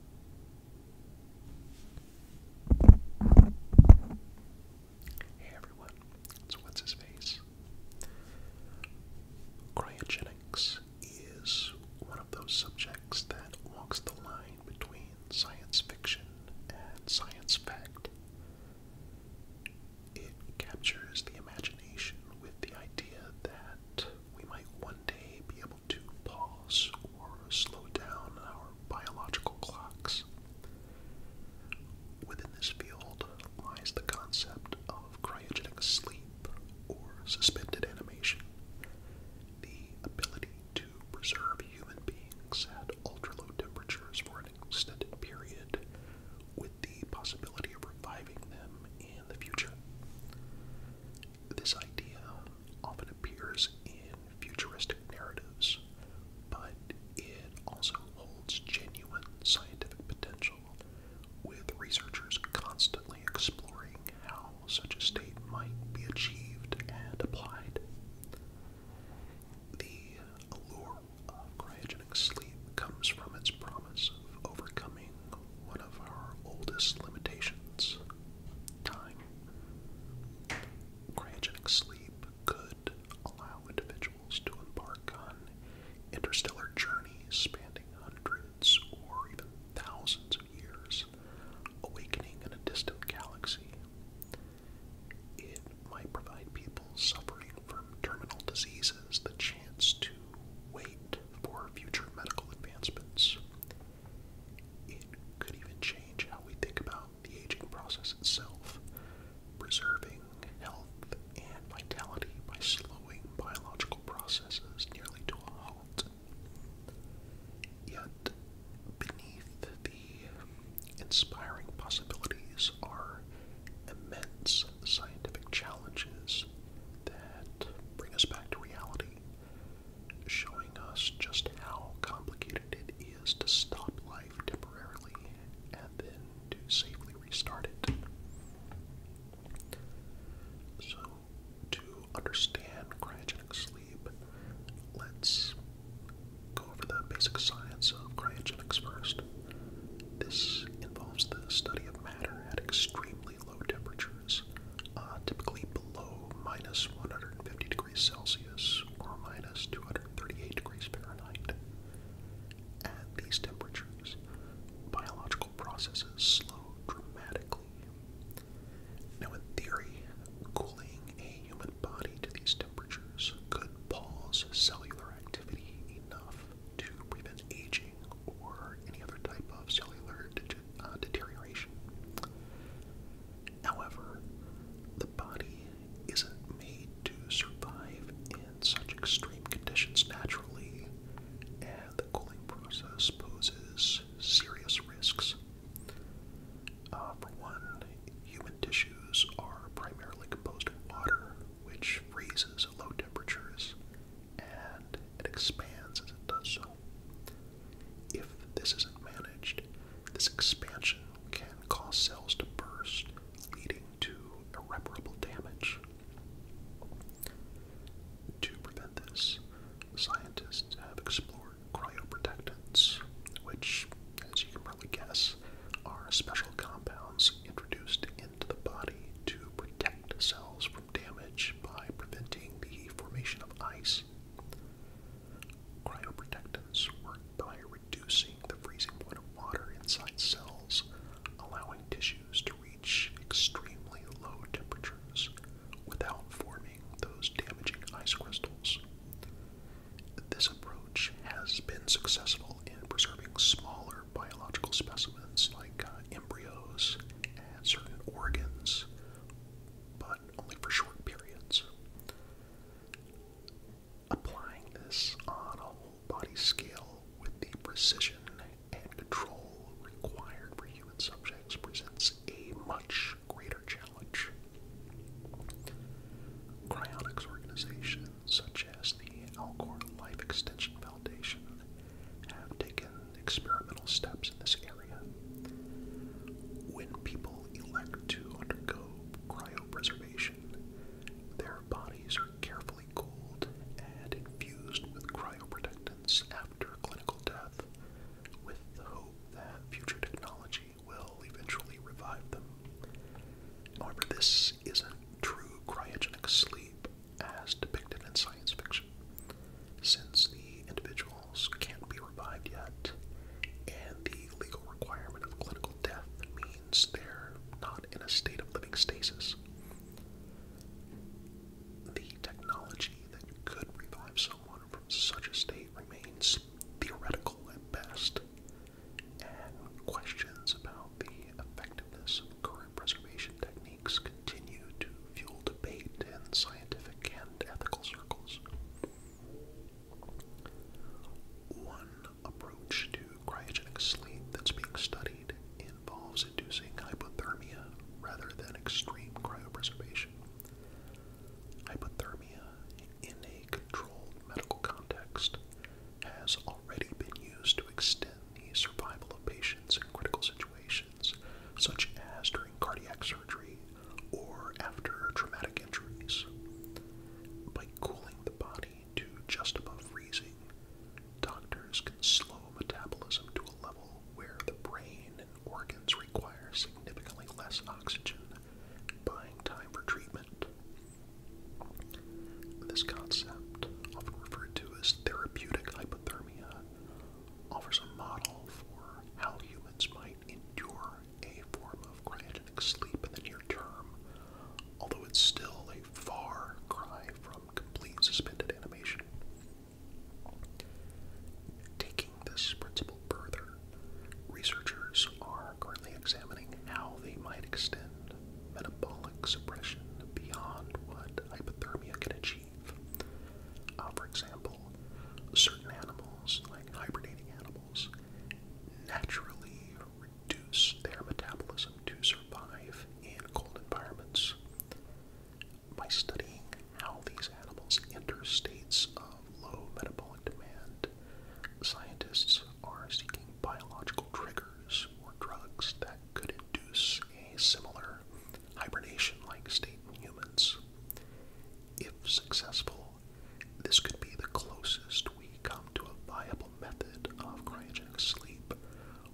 Hey everyone, it's What's His Face? Cryogenics is one of those subjects that walks the line between science fiction and science fact. It captures the imagination with the idea that we might one day be able to pause or slow down our biological clocks. Within this field lies the concept of cryogenic sleep or suspended animation, the ability to preserve human beings at ultra low temperatures for an extended period with the possibility of reviving them in the future. This idea often appears in futuristic narratives, but it also holds genuine scientific potential, with researchers constantly exploring how such a state might be achieved and applied. The allure of cryogenic sleep comes from its promise of overcoming one of our oldest limitations time. Cryogenic sleep could allow individuals to embark on interstellar journeys spanning hundreds or even thousands of years, awakening in a distant galaxy. It might provide people suffering from terminal diseases the chance to wait for future medical advancements. It could even change how we think about the aging process itself, preserving health and vitality by slowing biological processes nearly to a halt. Yet, beneath the inspiring possibilities are immense scientific challenges that bring us back to reality showing us just how complicated it is to stop life temporarily and then to safely restart it. So, to understand cryogenic sleep, let's go over the basic science of cryogenics first. This involves the study of matter at extreme low temperatures, uh, typically below minus 150 degrees Celsius or minus 238 degrees Fahrenheit. At these temperatures, biological processes slow dramatically. Now, in theory, cooling a human body to these temperatures could pause cellular activity enough to prevent aging or any other type of cellular degeneration. Uh, deterioration. However, the body isn't made to survive in such extreme conditions naturally, and the cooling process poses serious risks. Uh, for one, human tissues are primarily composed of water, which freezes at low temperatures, and it expands as it does so, if this isn't managed, this expansion can cause cells to burst, leading to irreparable damage. To prevent this, scientists have explored cryoprotectants, which, as you can probably guess, are special compounds introduced into the body to protect cells from damage by preventing the formation of ice Cryoprotectants work by reducing the freezing point of water inside cells, allowing tissues to reach extremely low temperatures without forming those damaging ice crystals. This approach has been successful in preserving smaller biological specimens like uh, embryos and certain organs but only for short periods. Applying this on a whole body scale with the precision and control required for human subjects presents a much greater challenge. Cryonics organizations such as the Alcor Life Extension Foundation have taken experimental steps in this area. When people elect to undergo cryopreservation, their bodies are carefully cooled and infused with cryoprotectants after clinical death, with the hope that future technology will eventually revive them. However, this isn't true cryogenic sleep as depicted in science fiction. Since the individuals can't be revived yet, and the legal requirement of clinical death means they're not in a state of living stasis, the technology that could revive someone from such a state remains theoretical at best, and questions about the effectiveness of current preservation techniques techniques continue to fuel debate in scientific and ethical circles. One approach to cryogenic sleep that's being studied involves inducing hypothermia rather than extreme cryopreservation. Hypothermia, in a controlled medical context, has already been used to extend the survival of patients in critical situations such as during cardiac surgery or after traumatic injuries. By cooling the body to just above freezing, doctors can slow metabolism to a level where the brain and organs require significantly less oxygen, buying time for treatment. This concept, often referred to as therapeutic hypothermia, offers a model for how humans might endure a form of cryogenic sleep in the near term, although it's still a far cry from complete suspended animation. Taking this principle further, researchers are currently examining how they might extend metabolic suppression beyond what hypothermia can achieve. Uh, for example, certain animals, like hibernating animals, naturally reduce their metabolism to survive in cold environments. By studying how these animals enter states of low metabolic demand, scientists are seeking biological triggers or drugs that could induce a similar hibernation like state in humans. If successful, this could be the closest we come to a viable method of cryogenic sleep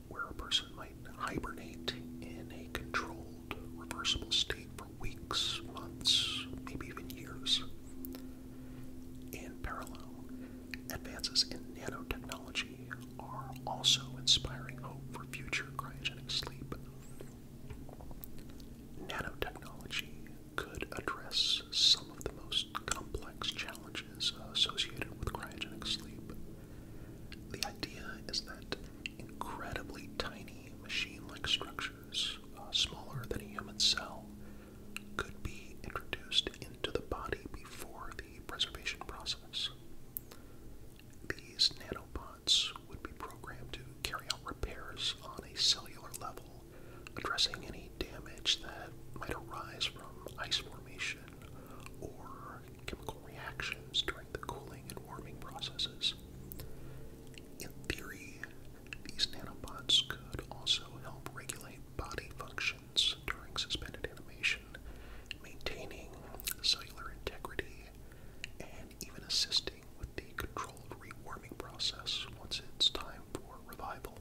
where a person might hibernate in a controlled, reversible state for weeks, months, maybe even years. In parallel, advances in nanotechnology are also inspiring hope for future cryogenic sleep. Nanotechnology could address some of the most complex challenges associated with cryogenic sleep. The idea is that incredibly tiny machine like structures, uh, smaller than a human cell, could be introduced into the body before the preservation process. These nanopods would be programmed to carry out repairs on a cellular level, addressing any damage that might arise from ice formation or chemical reactions during the cooling and warming processes. In theory, these nanobots could also help regulate body functions during suspended animation, maintaining cellular integrity even assisting with the controlled rewarming process once it's time for revival.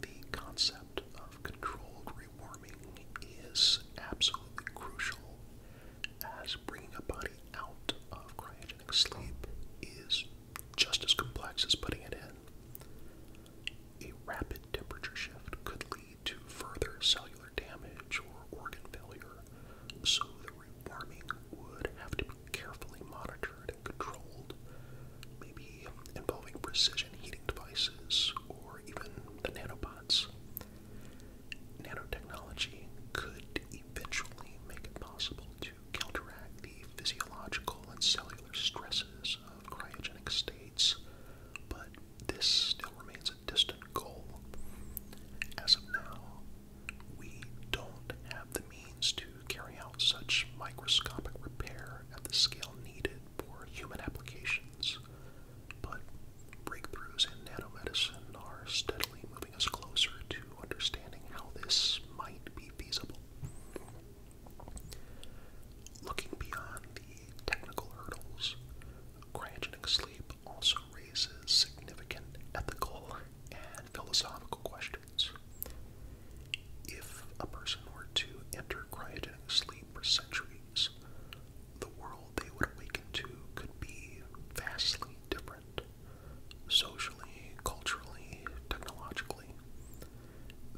The concept of controlled rewarming is absolutely crucial as bringing a body out of cryogenic sleep is just as complex as putting it in. A rapid temperature shift could lead to further cellular damage or organ failure, so the rewarming would have to be carefully monitored and controlled, maybe involving precision heating devices or even the nanobots. Nanotechnology could eventually make it possible to counteract the physiological and cellular stresses of cryogenic states but this still remains a distant goal. As of now, we don't have the means to carry out such microscopic repair at the scale needed for human applications, but breakthroughs in nanomedicine are steadily moving us closer to understanding how this might be feasible. Looking beyond the technical hurdles, cryogen sleep also raises significant ethical and philosophical questions. If a person were to enter cryogenic sleep for centuries, the world they would awaken to could be vastly different socially, culturally, technologically.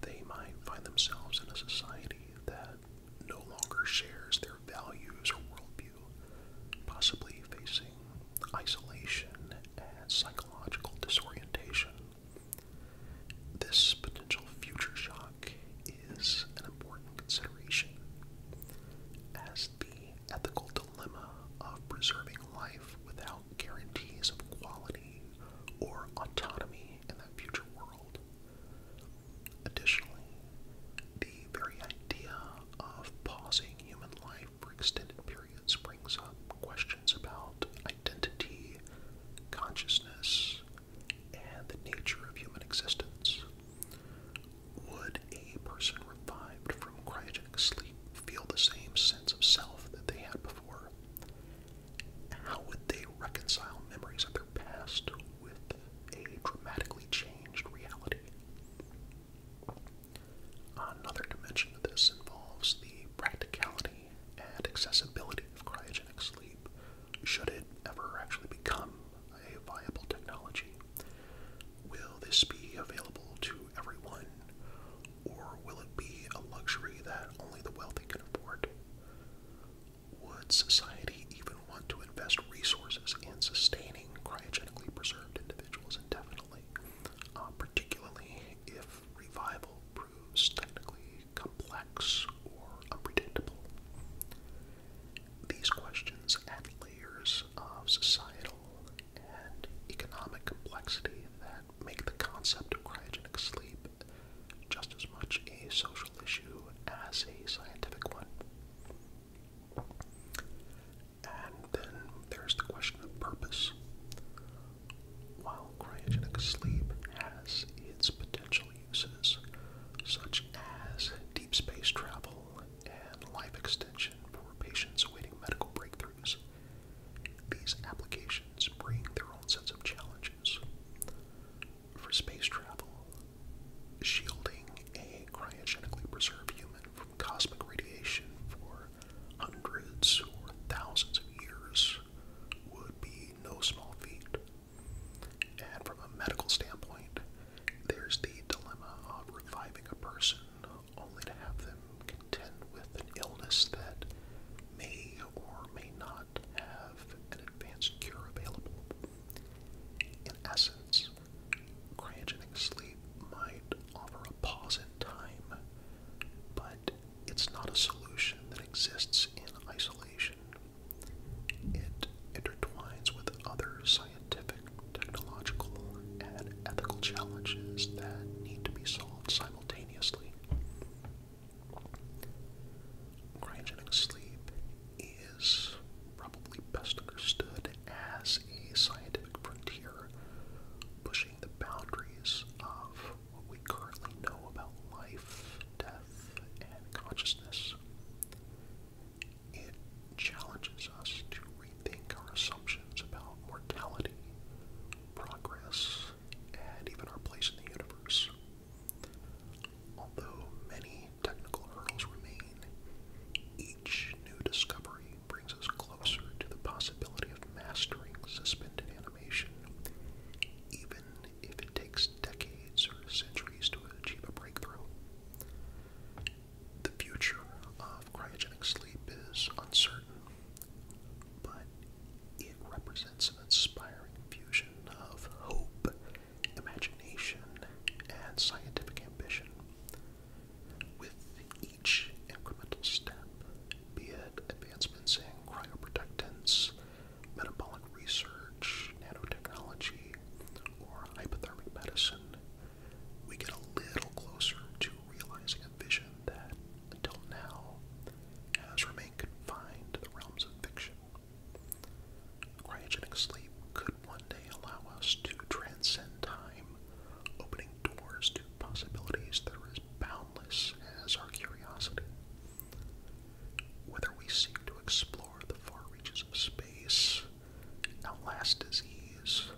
They might find themselves in a society that no longer shares their values or worldview, possibly facing isolation and psychological disorientation. This potential future shock is an important consideration, as the ethical dilemma of preserving life without guarantees of quality or autonomy in that future world Additionally, the very idea of pausing human life for extended periods brings up questions about identity, consciousness, and the nature of human existence. Would a person revived from cryogenic sleep feel the same sense of self that they had before? How would they reconcile memories of their past with a dramatically changed reality. Another dimension of this involves the practicality and accessibility of cryogenic sleep, should it ever actually become a viable technology. Will this be available to everyone, or will it be a luxury that only the wealthy can afford? Would society even want to invest resources in sustaining cryogenically preserved individuals indefinitely, uh, particularly if revival proves technically complex or unpredictable? These questions add layers of societal and economic complexity that make the concept of cryogenic sleep just as much a social issue as a scientific one. And then there's the question of purpose. While cryogenic sleep has its potential uses, such as deep space travel and life extension for patients awaiting medical breakthroughs, these applications bring their own sets of challenges for space travel, shielding a cryogenically preserved human from cosmic radiation for hundreds or thousands of years would be no small feat. And from a medical standpoint, there's the dilemma of reviving a person only to have them contend with an illness that may or may not have an advanced cure available. In essence, cryogenic sleep might offer a pause in time, but it's not a solution that exists in isolation. It intertwines with other scientific, technological, and ethical challenges that need to be solved simultaneously. Cryogenic sleep is probably best understood as a scientific frontier pushing the boundaries of what we currently know about life, death, and consciousness. It challenges us to rethink our assumptions about mortality, progress, and even our place in the universe. Although many technical hurdles remain, each new discovery brings us closer to the possibility of mastering suspended animation, even if it takes decades or centuries to achieve a breakthrough. The future of cryogenic sleep is uncertain, but it represents an inspiring fusion of hope imagination, and scientific ambition. With each incremental step, be it advancements in cryoprotectants, metabolic research, nanotechnology, or hypothermic medicine, we get a little closer to realizing a vision that, until now, has remained confined to the realms of fiction. Cryogenic sleep could one day allow us to transcend time, opening doors to possibilities that are as boundless as our curiosity. Whether we seek to explore the far reaches of space, outlast disease,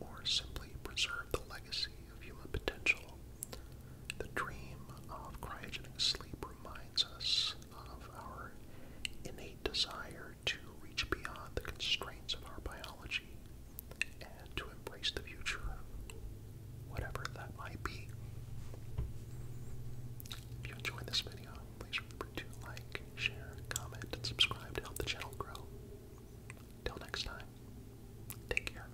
or simply preserve the legacy of human potential, the dream of cryogenic sleep reminds us of our innate desire to reach beyond the constraints of our biology and to embrace the future, whatever that might be. If you enjoyed this video, please remember to like, share, comment, and subscribe to help the channel grow. Till next time, take care.